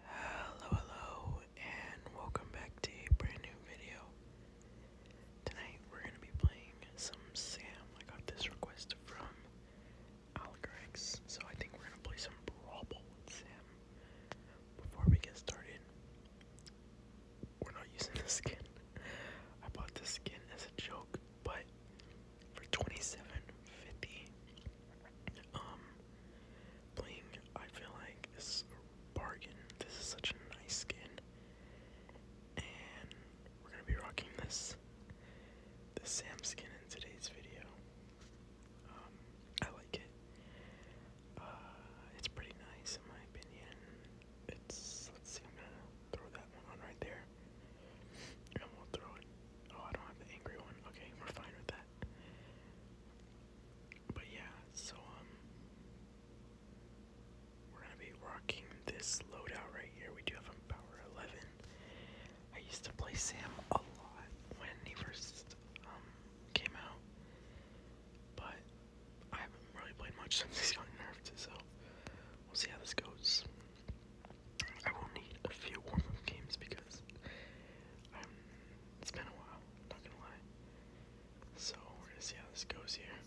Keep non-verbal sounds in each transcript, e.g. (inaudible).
Hello, hello, and welcome back to a brand new video. Tonight we're going to be playing some Sam. I got this request from Alex, so I think we're going to play some Brawl with Sam. Before we get started, we're not using this skin. I bought this skin as a joke, but for 27.50, um, Bling, I feel like is a bargain. This is such a nice skin. And we're gonna be rocking this the Sam skin in today's video. Um, I like it. Uh, it's pretty nice in my opinion. It's let's see, I'm gonna throw that one on right there. And we'll throw it. Oh, I don't have the angry one. Okay, we're fine with that. But yeah, so um we're gonna be rocking this loadout right here. We do have a power eleven. I used to play Sam a lot when he first um came out. But I haven't really played much (laughs) since he's gotten nerfed, so we'll see how this goes. I will need a few warm up games because um, it's been a while, not gonna lie. So we're gonna see how this goes here.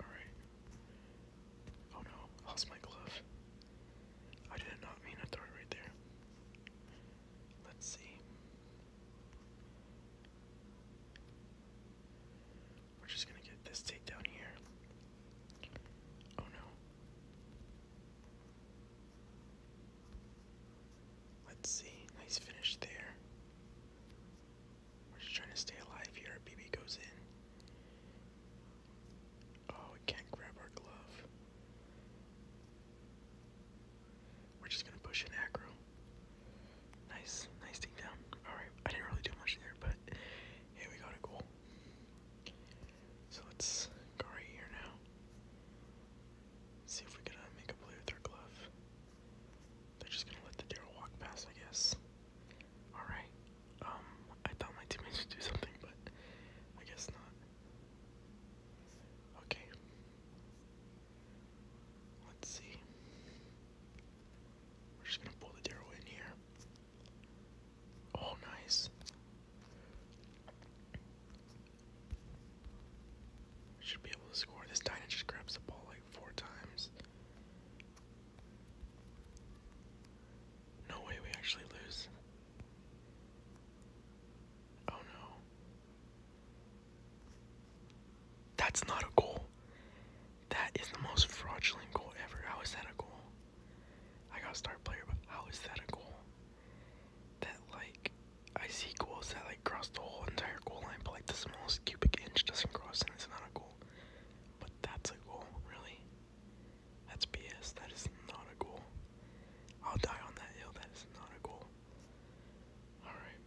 Alright. Oh no, lost my glove. I did not mean to throw it right there. Let's see. We're just gonna get this takedown here. Oh no. Let's see. Nice finish there. We're just trying to stay alive here. BB goes in. Oh, can't grab our glove. We're just gonna push an aggro. Nice, nice thing down. Alright, I didn't really do much there, but here we got a goal. So let's go right here now. See if we can uh, make a play with our glove. They're just gonna let the deer walk past, I guess. Alright. Um, I thought my teammates would do something, but I guess not. Okay. Let's see. We're just gonna pull the deer in here. Oh, nice. Should be able to score. This Dyna just grabs the ball like four times. No way we actually lose. Oh no. That's not a goal. That is the most fraudulent goal ever. How is that a goal? I got a star player, but how is that a goal? That like I see goals that like cross the whole entire goal line, but like the smallest cubic inch doesn't cross and it's not a goal. But that's a goal, really? That's BS. That is not a goal. I'll die on that hill. That is not a goal. All right.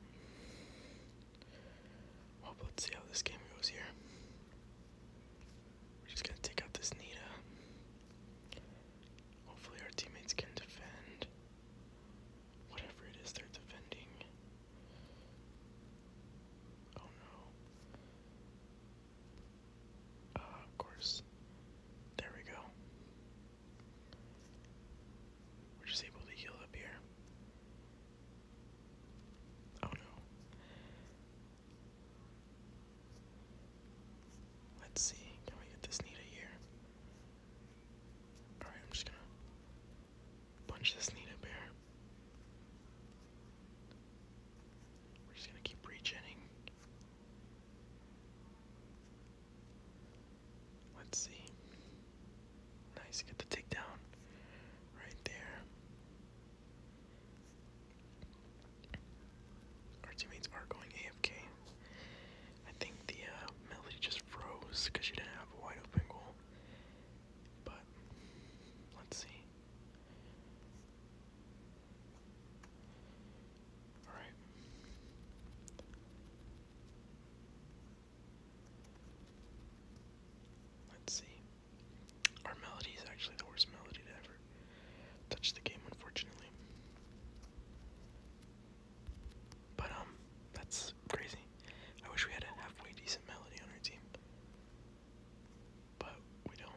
Well, let's see how this game goes here. We're just gonna take out this Nita. Hopefully our teammates can defend whatever it is they're defending. Oh no. Uh, of course. There we go. We're just able to heal up here. Oh no. Let's see, can we get this Nita here? Alright, I'm just gonna punch this Nita bear. We're just gonna keep regenning. Let's see. Nice, get the takedown right there. Our teammates are going AFK. I think the uh, just froze because she didn't have a wide open goal. But let's see. All right. Let's see. Our melody is actually the worst melody to ever touch the game, unfortunately. But, um, that's crazy. I wish we had a halfway decent melody on our team. But we don't.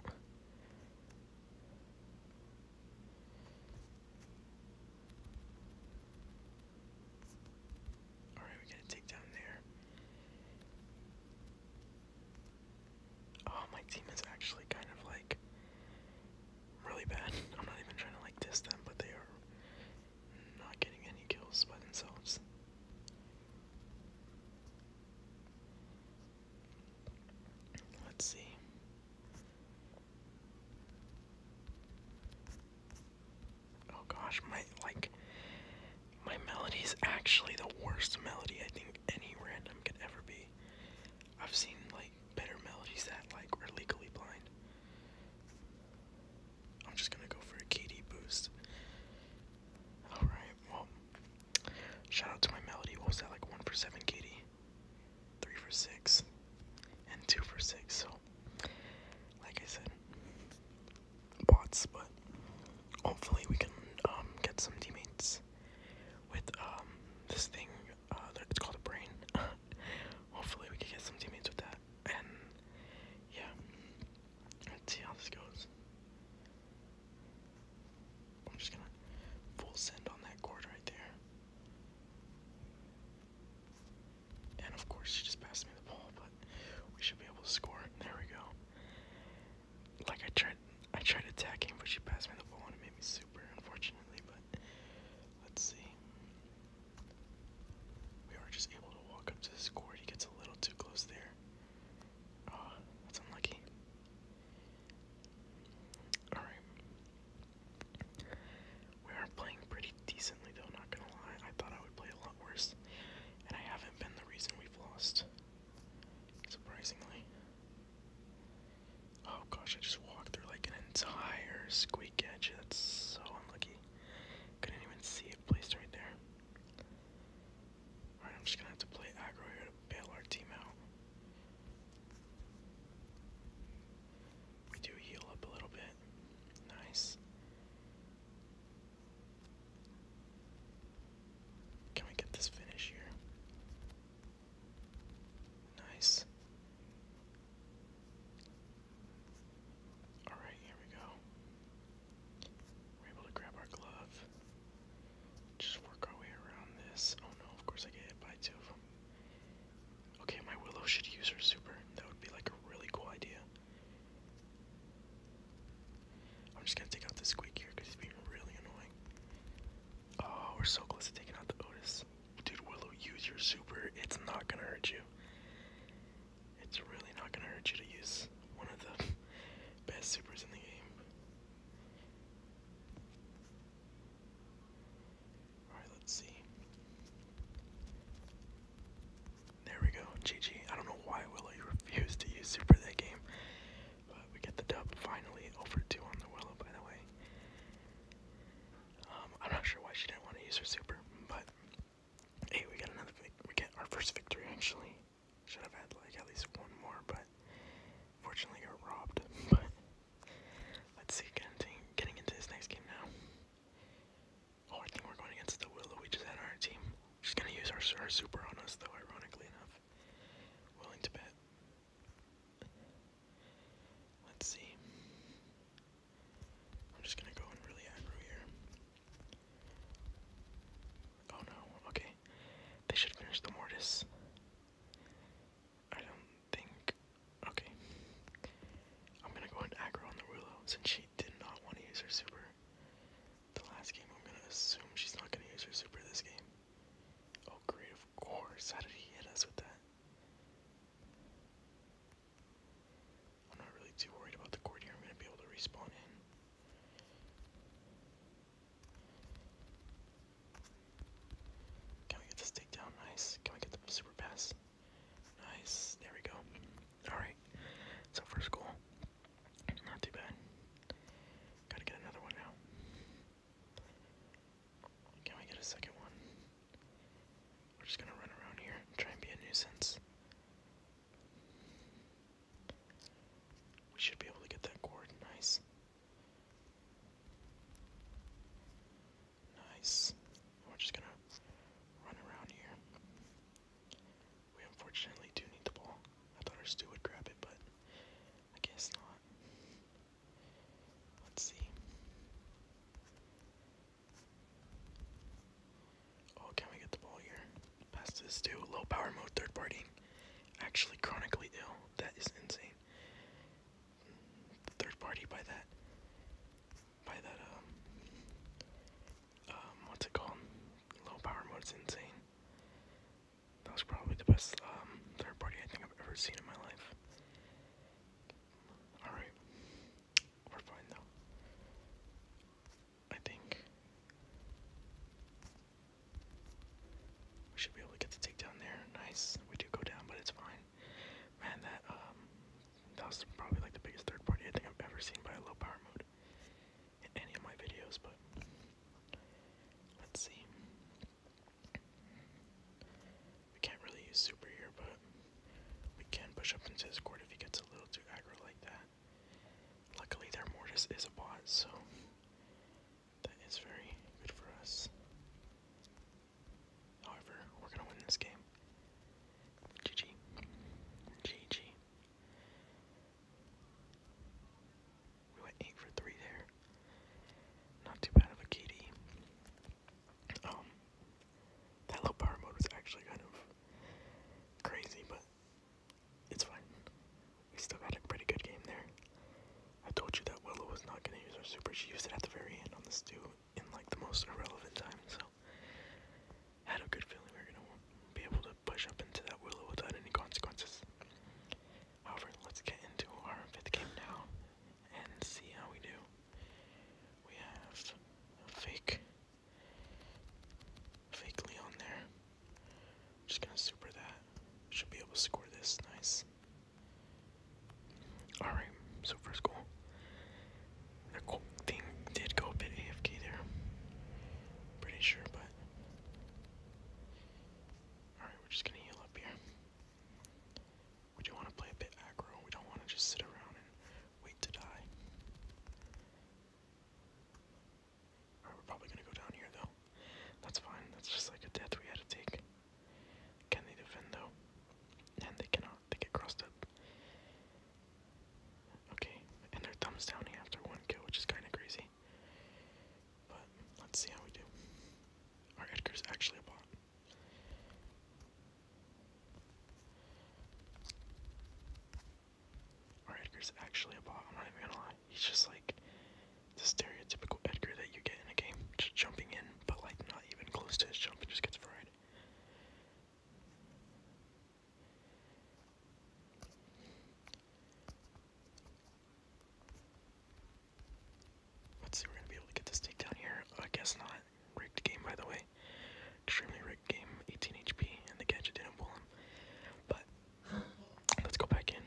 Alright, we gotta take down there. Oh, my team is actually kind of like really bad. (laughs) I'm not even trying to like diss them, but they are not getting any kills by themselves. Let's see. Oh gosh, my like my melody is actually the worst melody I think any random could ever be. I've seen like better melodies that like are legally blind. I'm just gonna go for a KD boost. Alright, well shout out to my melody. What was that like one for seven KD? Three for six and two for six, so like I said, bots, but hopefully we can um, get some teammates with um, this thing. Uh, it's called a brain. (laughs) hopefully we can get some teammates with that. And yeah, let's see how this goes. I'm just gonna full send on that cord right there. And of course, she just passed me the ball, we should be able to score. There we go. Like I tried, I tried attacking, but she passed me the ball and it made me super, unfortunately. But let's see. We are just able to walk up to the score. He gets a little too close there. Ah, that's unlucky. All right. We are playing pretty decently, though. Not gonna lie, I thought I would play a lot worse and I haven't been the reason we've lost. Surprisingly. Oh gosh, I just walked through like an entire squeak edge. That's so unlucky. Couldn't even see it placed right there. Alright, I'm just gonna have to play aggro here to bail our team out. We do heal up a little bit. Nice. Can we get this finish here? Nice. Alright, here we go. We're able to grab our glove. Just work our way around this. Oh no, of course I get hit by two of them. Okay, my Willow should use her super. That would be like a really cool idea. I'm just gonna take out this squeak here because he's being really annoying. Oh, we're so close to taking out the Otis. Dude, Willow, use your super. It's not gonna hurt you. It's really not gonna hurt you to use one of the best supers in the game. Alright, let's see. There we go, GG. I don't know why Willow refused to use super that game, but we get the dub finally over two on the Willow, by the way. Um, I'm not sure why she didn't want to use her super, but hey, we got another. We get our first victory actually. Should have had like at least one more, but fortunately got robbed. (laughs) but let's see, getting getting into this next game now. Oh, I think we're going against the Willow we just had our team. She's gonna use our, her super on us, though, ironically enough. Willing to bet. Let's see. I'm just gonna go and really aggro here. Oh no, okay. They should finish the Mortis. I don't think. Okay. I'm gonna go and aggro on the Rulo since she did not want to use her super. The last game, I'm gonna assume she's not gonna use her super this game. Oh great, of course. How did he hit us with that? I'm not really too worried about the cord here. I'm gonna be able to respawn in. Can we get this takedown? Nice. Can we get the super pass? Nice. There we go. Alright. So first school, Not too bad. Gotta get another one now. Can we get a second one? We're just gonna run around here try and be a nuisance. We should be able to get that cord. Nice. Nice. We're just gonna run around here. We unfortunately do need the ball. I thought our Stu would grab it, but I guess not. Let's see. Oh, can we get the ball here? Pass to Stu. Low power mode, third party. Actually, chronically ill. That is insane. Third party by that by that um um what's it called? Low power mode's insane. That was probably the best um third party I think I've ever seen in my life. Alright. We're fine though. I think we should be able to get the takedown there. Nice. We do go down, but it's fine. Man, that um that's probably like the biggest third party I think I've ever seen by a low power mode in any of my videos, but let's see. We can't really use super here, but we can push up into his court if he gets a little too aggro like that. Luckily their mortis is a bot, so that is very good for us. However, we're gonna win this game. GG. GG. We went 8 for 3 there. Not too bad of a KD. Um, that low power mode was actually kind of crazy, but it's fine. We still got a pretty good game there. I told you that Willow was not going to use her super. She used it at the very end on the stew in like the most irrelevant time, so had a good feeling we were going to be able to push up into that willow without any consequences. However, let's get into our fifth game now and see how we do. We have fake, fake Leon there. I'm just gonna super that. Should be able to score this. Nice. Alright, so first goal. The thing did go a bit AFK there. Pretty sure, but. Alright, we're just gonna heal up here. We do wanna play a bit aggro. We don't wanna just sit around and wait to die. Alright, we're probably gonna go down here though. That's fine, that's just like a death we had to take. Can they defend though? And they cannot. They get crossed up. Okay, and their thumbs down after one kill, which is kind of crazy. But let's see how we do. Our Edgar's actually a bot. Our Edgar's actually a bot. I'm not even gonna lie. He's just like the stereotypical Edgar that you get in a game, just jumping in, but like not even close to his jump. It just gets fried. Let's see, we're gonna be able to get this take here. I guess not. Rigged game, by the way. Extremely rigged game. 18 HP, and the gadget didn't pull him. But let's go back in.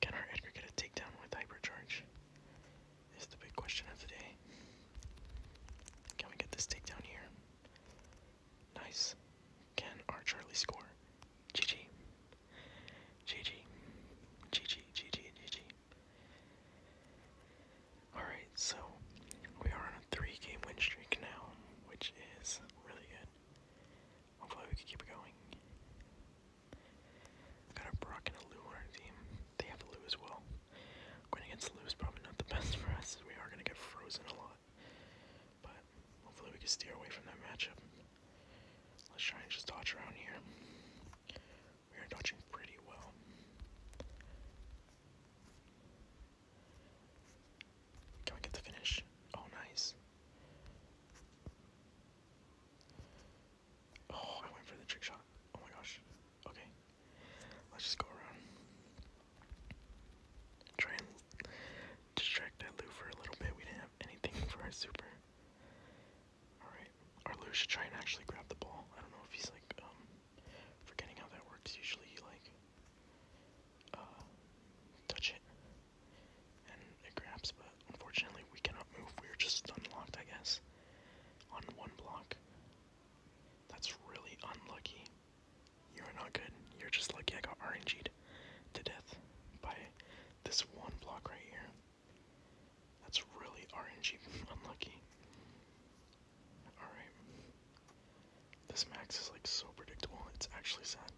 Can our Edgar get a takedown with hypercharge? is the big question of the day. Can we get this takedown here? Nice. Can our Charlie score? GG. GG. GG. GG. GG. Alright, so we are on a three game win streak now, which is really good. Hopefully, we can keep it going. Got a Brock and a Lou on our team. They have a as well. Going against Lou is probably not the (laughs) best for us. We are going to get frozen a lot. But hopefully we can steer away from that matchup. Let's try and just dodge around here. We are dodging pretty well. Can we get the finish? Oh, nice. Oh, I went for the trick shot. Oh my gosh. Okay. Let's just go around. Try and distract that Lou for a little bit. We didn't have anything for our super. Alright. Our Lou should try and actually grab the ball. I don't know if he's like, um, forgetting how that works. Usually you like, uh, touch it and it grabs, but unfortunately we cannot move. We are just unlocked, I guess, on one block. That's really unlucky. You are not good. You're just lucky I got RNG'd to death by this one block right here. That's really RNG (laughs) unlucky. Alright. This max is like so predictable, it's actually sad.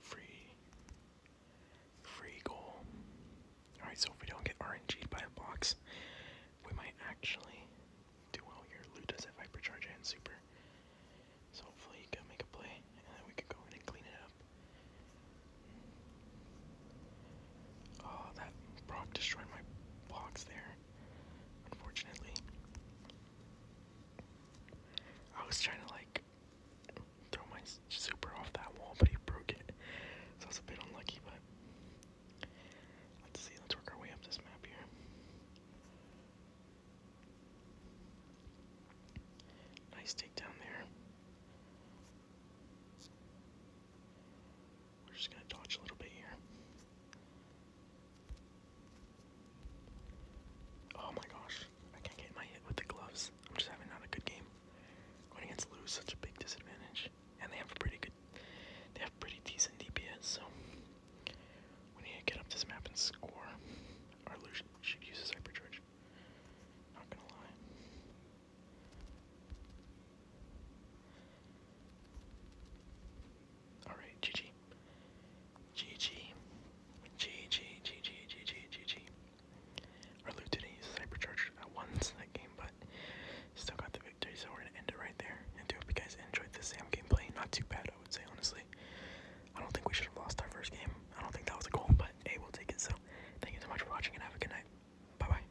Free. Free goal. Alright, so if we don't get RNG'd by a box, we might actually do well here. Loot does hypercharge and super. So hopefully he can make a play and then we could go in and clean it up. Oh, that Brock destroyed my box there unfortunately. I was trying to like throw my super off that wall, but he broke it. So I was a bit unlucky, but let's see, let's work our way up this map here. Nice take down there. We're just gonna dodge a little bit here. Oh my gosh, I can't get my hit with the gloves. I'm just having not a good game. Going against Lou is such a big disadvantage, and they have pretty good, they have pretty decent DPS. So we need get up this map and score. Our Lou should, should use his hypercharge. Not gonna lie. Alright, GG. GG. GG, GG, GG, GG. Our loot today is Cybercharged at once that game, but still got the victory, so we're gonna end it right there. And do hope you guys enjoyed the Sam gameplay. Not too bad, I would say, honestly. I don't think we should have lost our first game. I don't think that was a goal, but hey, we'll take it. So, thank you so much for watching and have a good night. Bye bye.